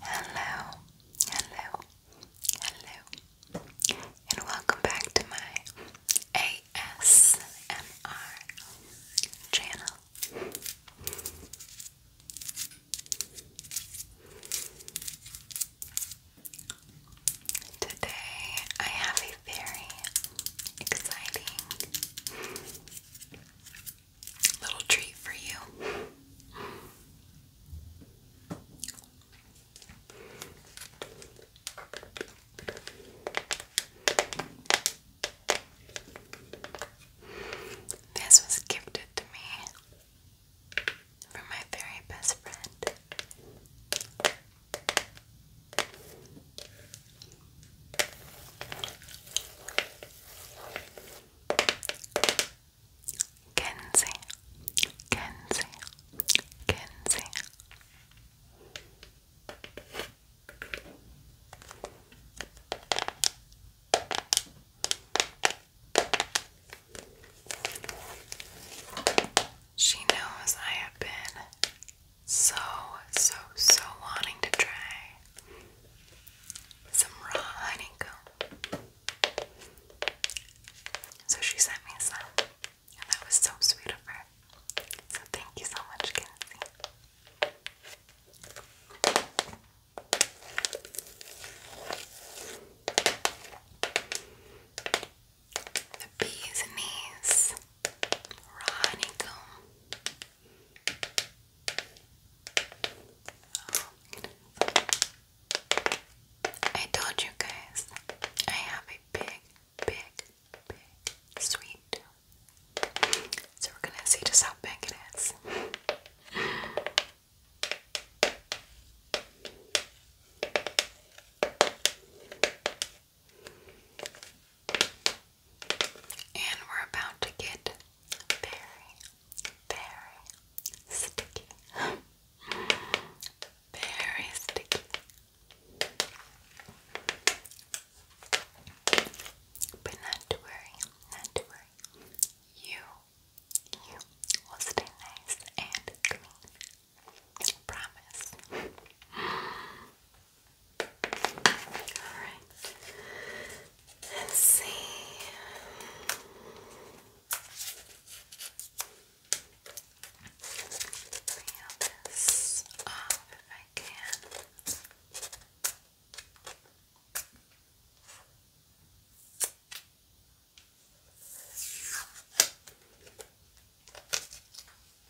Hello, hello, hello, and welcome back to my ASMR channel. Today I have a very exciting little treat for you. This was gifted to me from my very best friend. Kenzie, Kenzie, Kenzie. She knows I have been so, so, so wanting to try some raw honeycomb. So she sent me some, and that was so sweet of her. So thank you so much, Kenzie. The bee's knees, raw honeycomb, I told you guys, I have a big, big, big sweet So we're gonna see just how big it is. And we're about to get very, very sticky. very sticky. But not to worry, not to worry. You, you will stay nice and clean. Promise. Alright. Let's see. Peel this off if I can.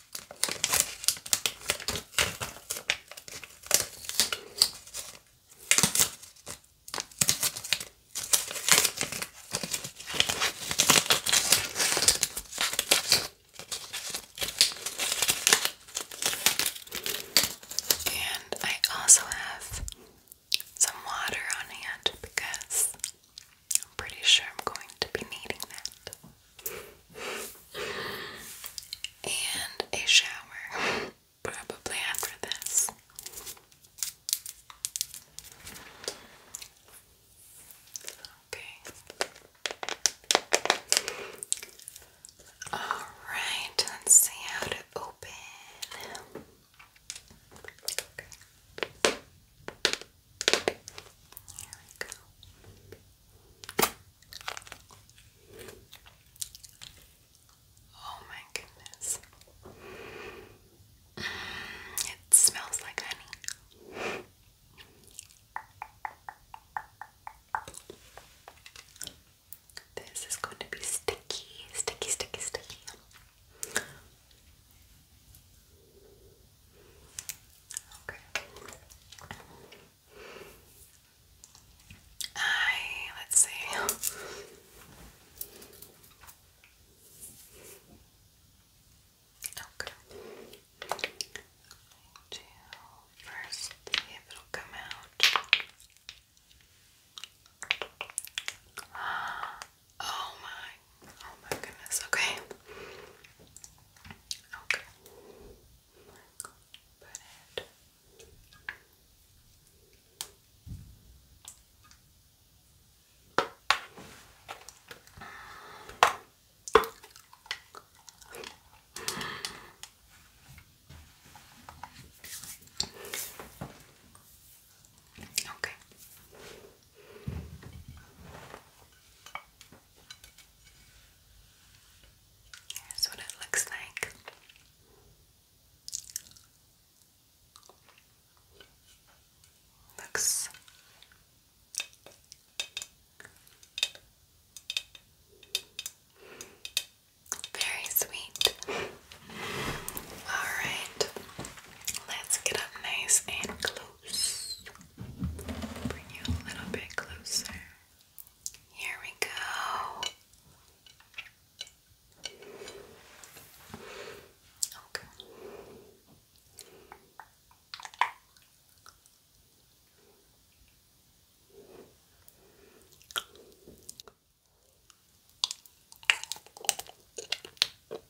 And I also have some water on hand because I'm pretty sure I'm going to be needing that and a shower, probably after this. Okay. Alright, let's see how to open. Here we go. Oh my goodness. Mm, it smells like honey. This is going to be sticky, sticky, sticky, sticky. Okay. I let's see. Okay. Do see if it'll come out. Oh my, oh my goodness, okay. Okay. Put it. Okay. Here's what it looks like. Looks very sweet. Alright, let's get up nice and close nose. Bring you a little bit closer. Here we go. Okay.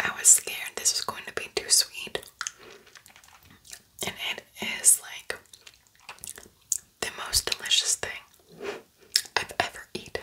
I was scared this was going to be too sweet, and it is like the most delicious thing I've ever eaten.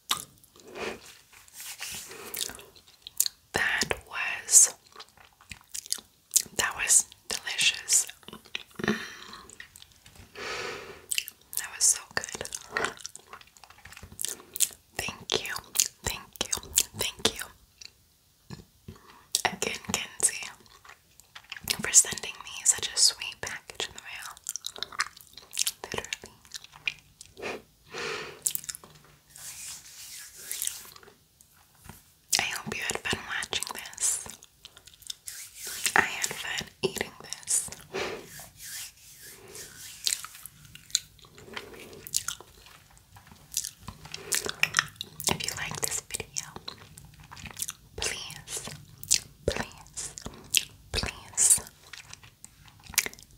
That was that was delicious. that was so good. Thank you, thank you, thank you again, Kenzie, for sending me such a sweet package in the mail. Literally. I hope you had fun watching this. I had fun eating this. If you like this video, please, please, please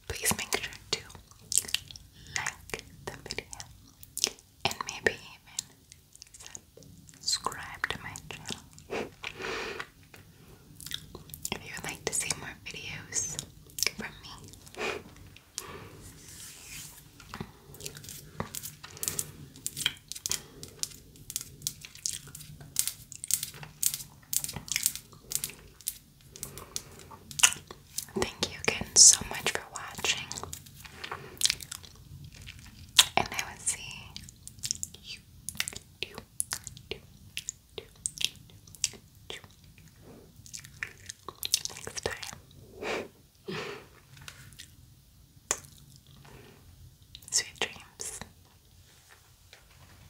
please make sure to like the video and maybe even subscribe to my channel. if you would like to see more videos from me. Thank you again so much for watching. And I will see you next time. Sweet dreams.